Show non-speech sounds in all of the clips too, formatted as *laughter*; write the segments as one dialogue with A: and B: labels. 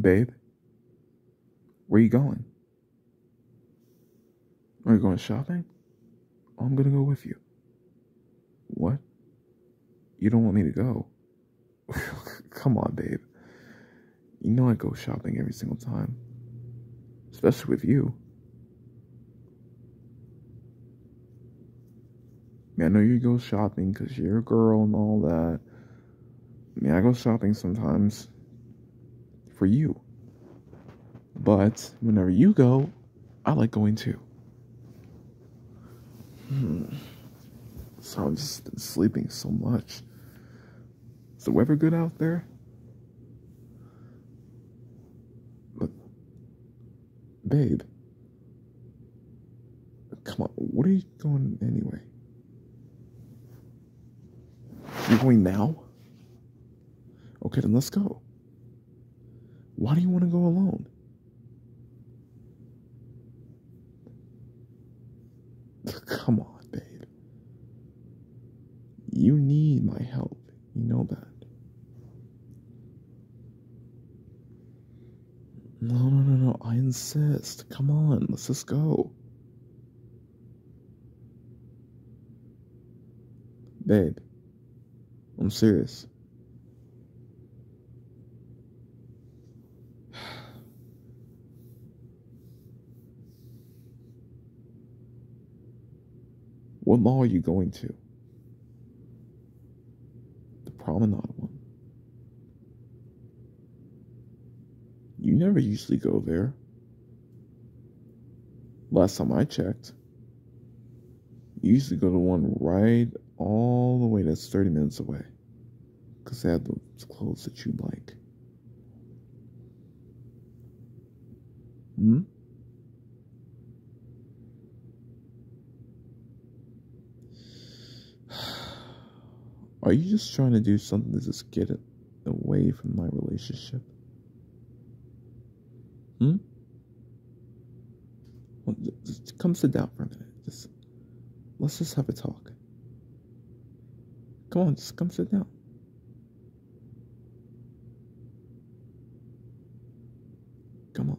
A: Babe, where are you going? Are you going shopping? Oh, I'm gonna go with you. What? You don't want me to go? *laughs* Come on, babe. You know I go shopping every single time, especially with you. I, I know you go shopping because you're a girl and all that. I I go shopping sometimes for you. But whenever you go, I like going too. Hmm. So I've just been sleeping so much. Is the weather good out there? But, babe, come on, what are you going anyway? you going now? Okay, then let's go. Why do you want to go alone? *laughs* Come on, babe. You need my help. You know that. No, no, no, no. I insist. Come on. Let's just go. Babe, I'm serious. *sighs* What mall are you going to? The promenade one. You never usually go there. Last time I checked, you usually go to one right all the way that's 30 minutes away. Because they have the clothes that you like. Hmm? *sighs* Are you just trying to do something to just get it away from my relationship? Hmm? Well, just come to doubt for a minute. Just let's just have a talk. Come on, just come sit down. Come on.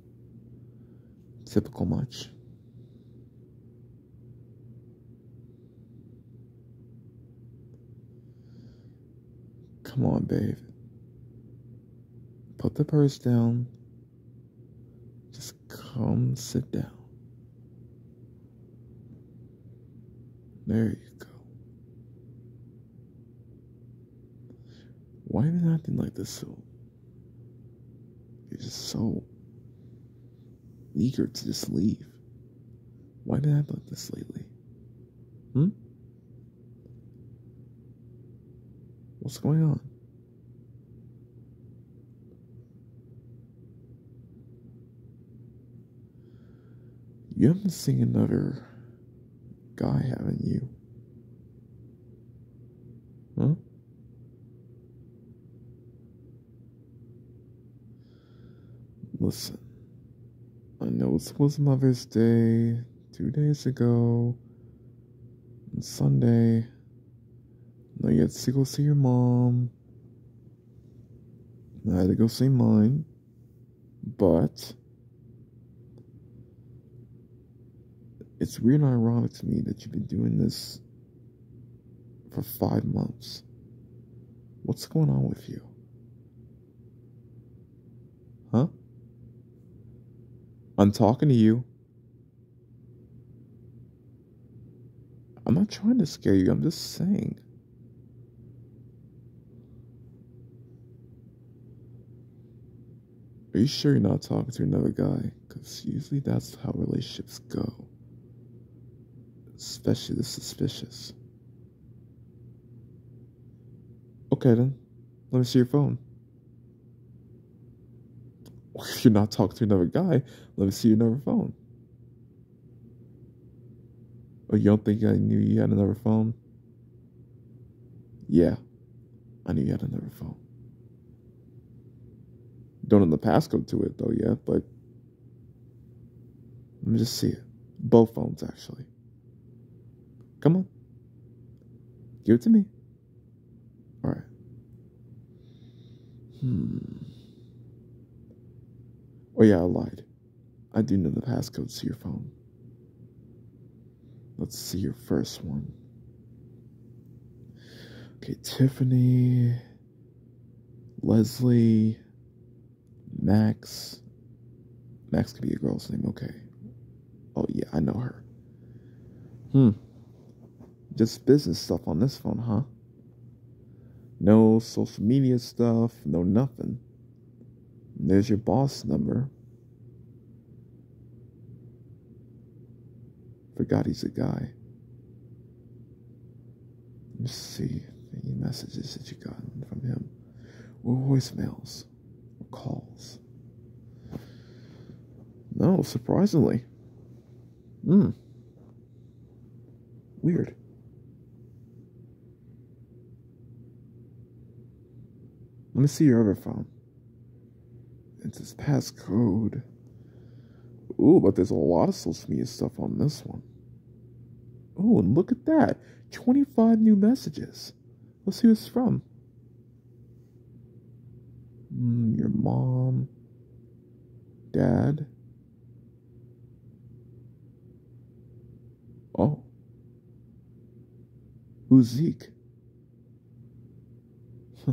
A: *sighs* Typical much. Come on, babe. Put the purse down. Just come sit down. There you go. Why am I acting like this so you're just so eager to just leave. Why did I like this lately? Hmm? What's going on? You haven't seen another guy, haven't you? Hmm? Listen, I know it was Mother's Day two days ago, and Sunday. you had to go see your mom. I had to go see mine. But it's weird and ironic to me that you've been doing this for five months. What's going on with you? Huh? I'm talking to you. I'm not trying to scare you, I'm just saying. Are you sure you're not talking to another guy? Because usually that's how relationships go. Especially the suspicious. Okay then, let me see your phone. *laughs* you're not talking to another guy, let me see your other phone. Oh, you don't think I knew you had another phone? Yeah, I knew you had another phone. Don't know the passcode to it though yet, but let me just see it. Both phones actually. Come on. Give it to me. All right. Hmm. Oh yeah, I lied. I do know the passcode to your phone. Let's see your first one. Okay, Tiffany, Leslie, Max. Max could be a girl's name, okay. Oh, yeah, I know her. Hmm. Just business stuff on this phone, huh? No social media stuff, no nothing. There's your boss number. Forgot he's a guy. Let's see any messages that you have gotten from him, or voicemails, or calls. No, surprisingly. Hmm. Weird. Let me see your other phone. It's his passcode. Ooh, but there's a lot of social media stuff on this one. Ooh, and look at that. 25 new messages. Let's see who it's from. Hmm, your mom. Dad. Oh. Who's Zeke? Huh.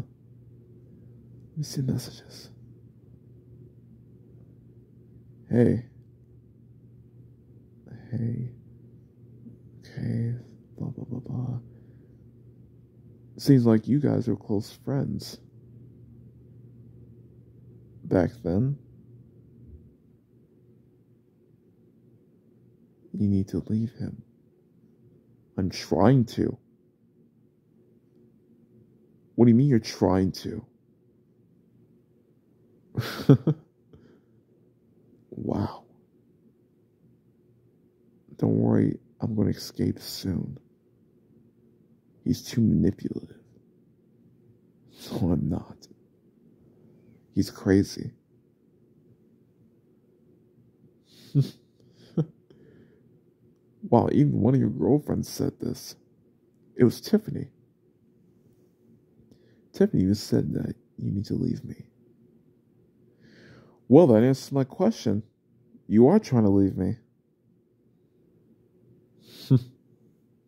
A: Let me see messages. Hey. Hey. Okay. Blah, blah, blah, blah. Seems like you guys were close friends. Back then. You need to leave him. I'm trying to. What do you mean you're trying to? *laughs* wow. Don't worry, I'm going to escape soon. He's too manipulative. *laughs* No, I'm not. He's crazy. *laughs* wow, even one of your girlfriends said this. It was Tiffany. Tiffany, you said that you need to leave me. Well, that answers my question. You are trying to leave me.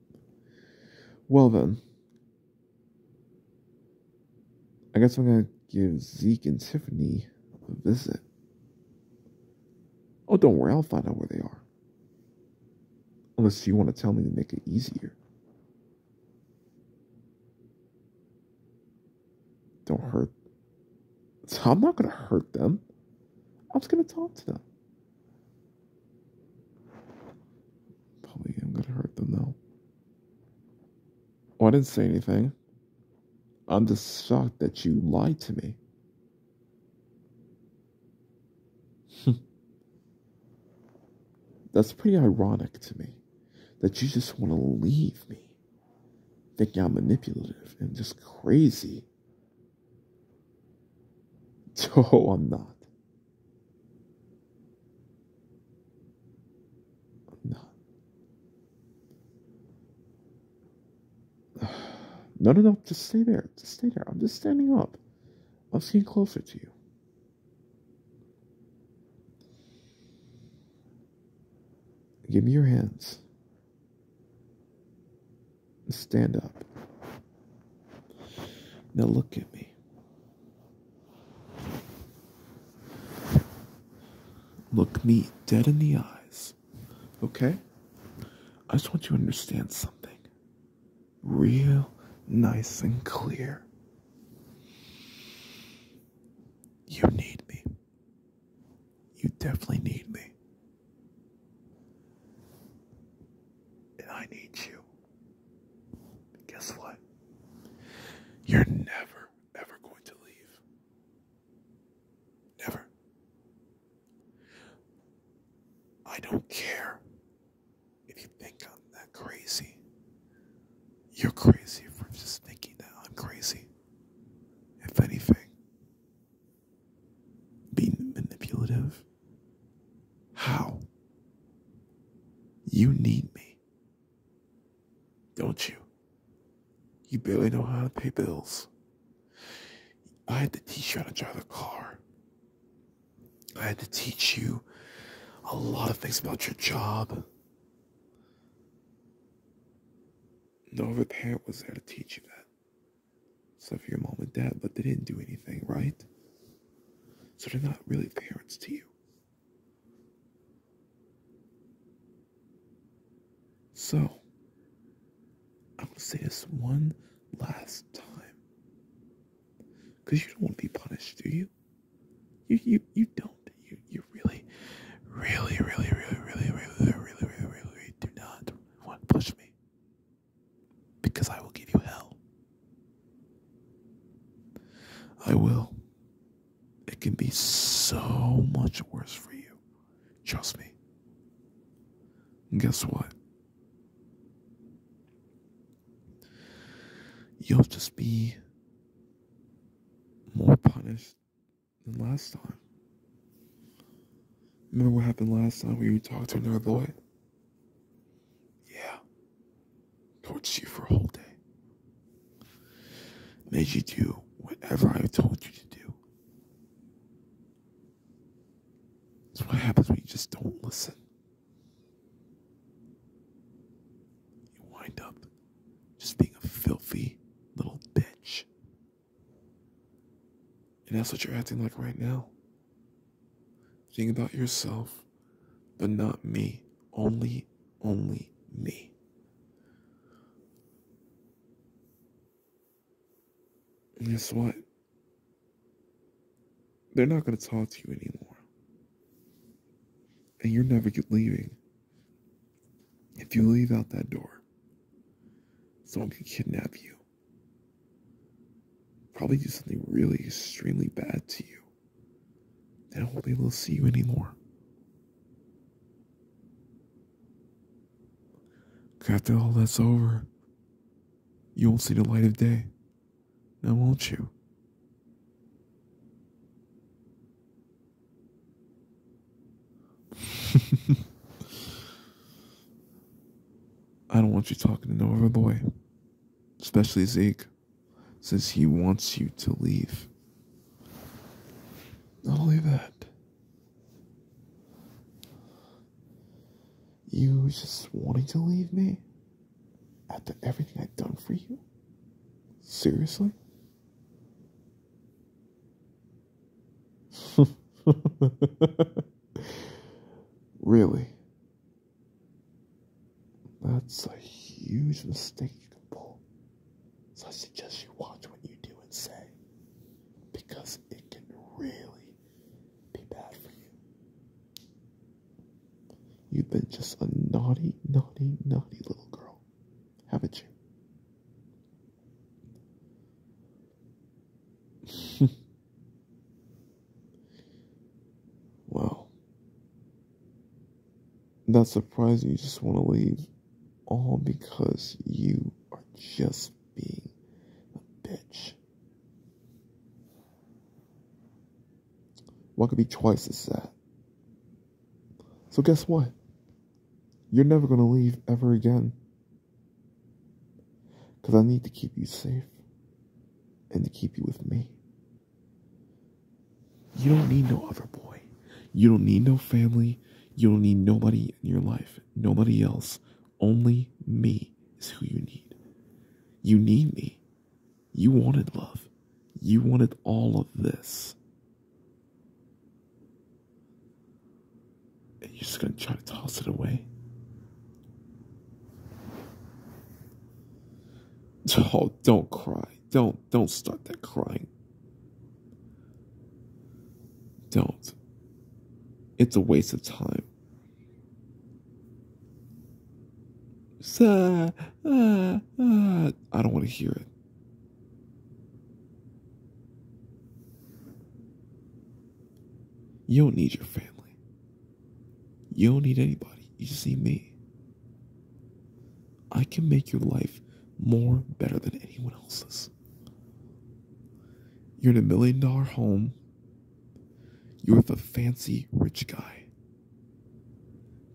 A: *laughs* well, then, I guess I'm gonna give Zeke and Tiffany a visit. Oh, don't worry, I'll find out where they are. Unless you want to tell me to make it easier. Don't hurt. I'm not gonna hurt them. I'm just gonna talk to them. Probably I'm gonna hurt them though. Oh, I didn't say anything. I'm just shocked that you lied to me. *laughs* That's pretty ironic to me that you just want to leave me, thinking I'm manipulative and just crazy. *laughs* Oh, I'm not. No. No, no, no. Just stay there. Just stay there. I'm just standing up. I'm seeing closer to you. Give me your hands. Stand up. Now look at me. Look me dead in the eyes, okay? I just want you to understand something real nice and clear. You need me. You definitely need me. And I need you. Guess what? You're never, ever going to leave. Never. I don't care if you think I'm that crazy. You're crazy for just thinking that I'm crazy. If anything, being manipulative. How? You need me. Don't you? You barely know how to pay bills. I had to teach you how to drive a car. I had to teach you a lot of things about your job. No other parent was there to teach you that. Except for your mom and dad, but they didn't do anything, right? So they're not really parents to you you. So, I'm going to say this one last time. Because you don't want to be punished, do you? You, you, you don't. You, you really, really, really, really, really, really, really, really, really, really do not want to push me. Because I will give you hell. I will. It can be so much worse for you. Trust me. guess what? You'll just be more punished than last time. Remember what happened last time when you talked to another boy? Yeah. Tortured you for a whole day. Made you do whatever I told you to do. That's what happens when you just don't listen. You wind up just being a filthy little bitch. And that's what you're acting like right now. Think about yourself, but not me. Only, only me. guess what? They're not going to talk to you anymore. And you're never leaving. If you leave out that door, someone can kidnap you probably do something really extremely bad to you. They will not be able to see you anymore. After all that's over, you won't see the light of day. Now, won't you? *laughs* I don't want you talking to no other boy especially Zeke, since he wants you to leave. Not only that, you just wanting to leave me after everything I've done for you? Seriously? *laughs* really? That's a huge mistake you can pull. So I suggest you watch what you do and say because it can really be bad for you. You've been just a naughty, naughty, naughty little girl, haven't you? *laughs* Well, Not surprising you just want to leave, all because you are just being a bitch. Well, could be twice as sad. So guess what? You're never gonna leave ever again. Because I need to keep you safe and to keep you with me. You don't need no other boy. You don't need no family. You don't need nobody in your life. Nobody else. Only me is who you need. You need me. You wanted love. You wanted all of this you're just gonna try to toss it away. *laughs* Oh, don't cry. Don't don't start that crying. Don't. It's a waste of time. Uh, uh, uh, I don't want to hear it. You don't need your family. You don't need anybody. You just need me. I can make your life more better than anyone else's. You're in a million dollar home. You're with a fancy rich guy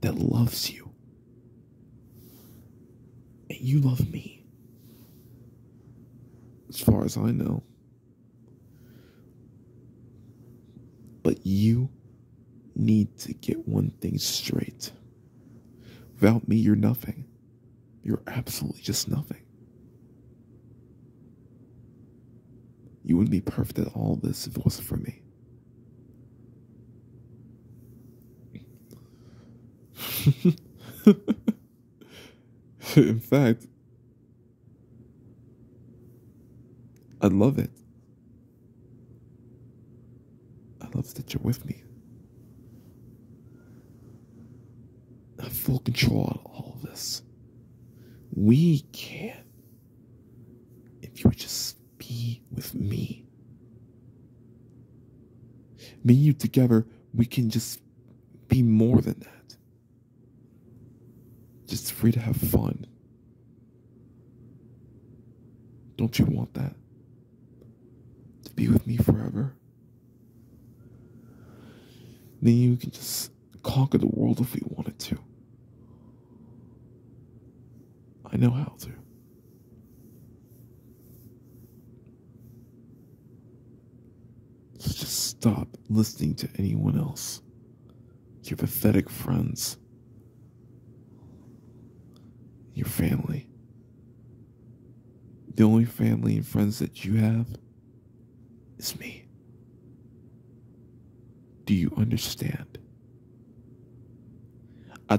A: that loves you. And you love me. As far as I know, but you need to get one thing straight. Without me, you're nothing. You're absolutely just nothing. You wouldn't be perfect at all this if it wasn't for me. *laughs* In fact, I love it. I love that you're with me. I have full control on all of this. We can. If you would just be with me. Me and you together, we can just be more than that. Just free to have fun. Don't you want that? To be with me forever? Then you can just conquer the world if we wanted to. I know how to just stop listening to anyone else. Your pathetic friends. Your family. The only family and friends that you have is me. Do you understand? Ah,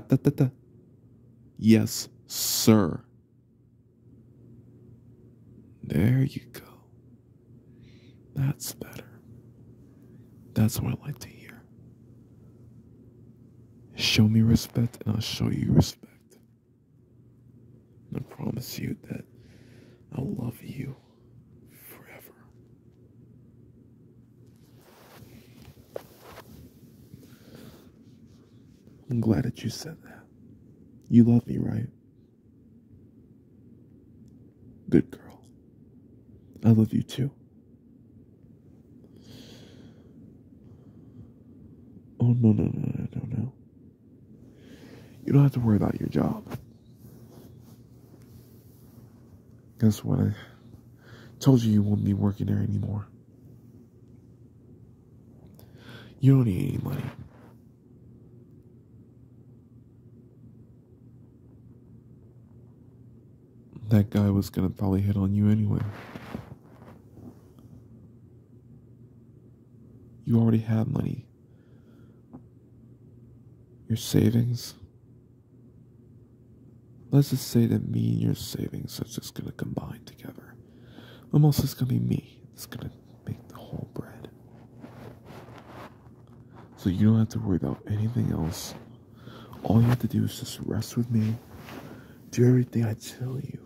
A: yes, sir. There you go. That's better. That's what I like to hear. Show me respect and I'll show you respect. I promise you that I'll love you forever. I'm glad that you said that. You love me, right? Good girl. I love you too. Oh, no, no, no, no, no, You don't have to worry about your job. Guess what? I told you you won't be working there anymore. You don't need any money. That guy was gonna probably hit on you anyway. You already have money. Your savings. Let's just say that me and your savings are just gonna combine together. I'm also just gonna be me. It's gonna make the whole bread. So you don't have to worry about anything else. All you have to do is just rest with me. Do everything I tell you.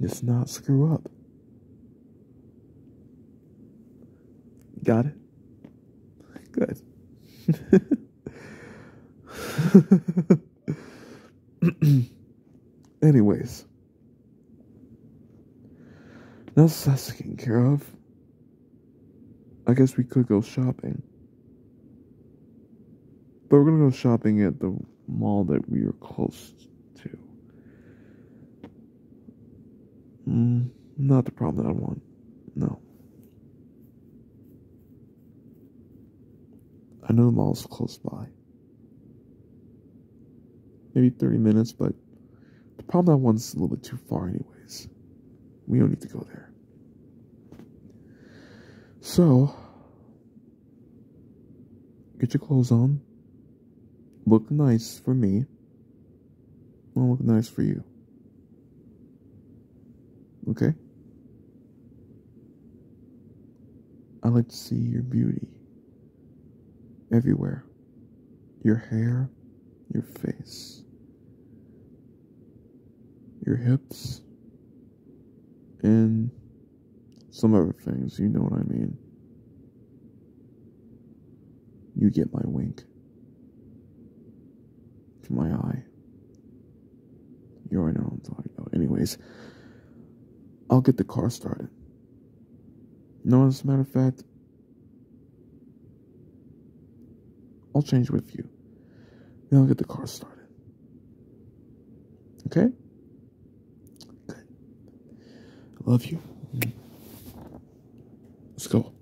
A: Just not screw up. Got it? Good. *laughs* *laughs* Anyways. Now that's taken care of. I guess we could go shopping. But we're gonna go shopping at the mall that we are close to. Mm, not the problem that I want. No. I know the mall's close by. Maybe 30 minutes, but the problem that one's a little bit too far, anyways. We don't need to go there. So, get your clothes on. Look nice for me. I'll look nice for you. Okay? I like to see your beauty everywhere your hair, your face, your hips, and some other things. You know what I mean. You get my wink to my eye. You already know oh, I'm talking about. Anyways, I'll get the car started. No, as a matter of fact, I'll change with you. Then I'll get the car started. Okay? Good. I love you. Let's go.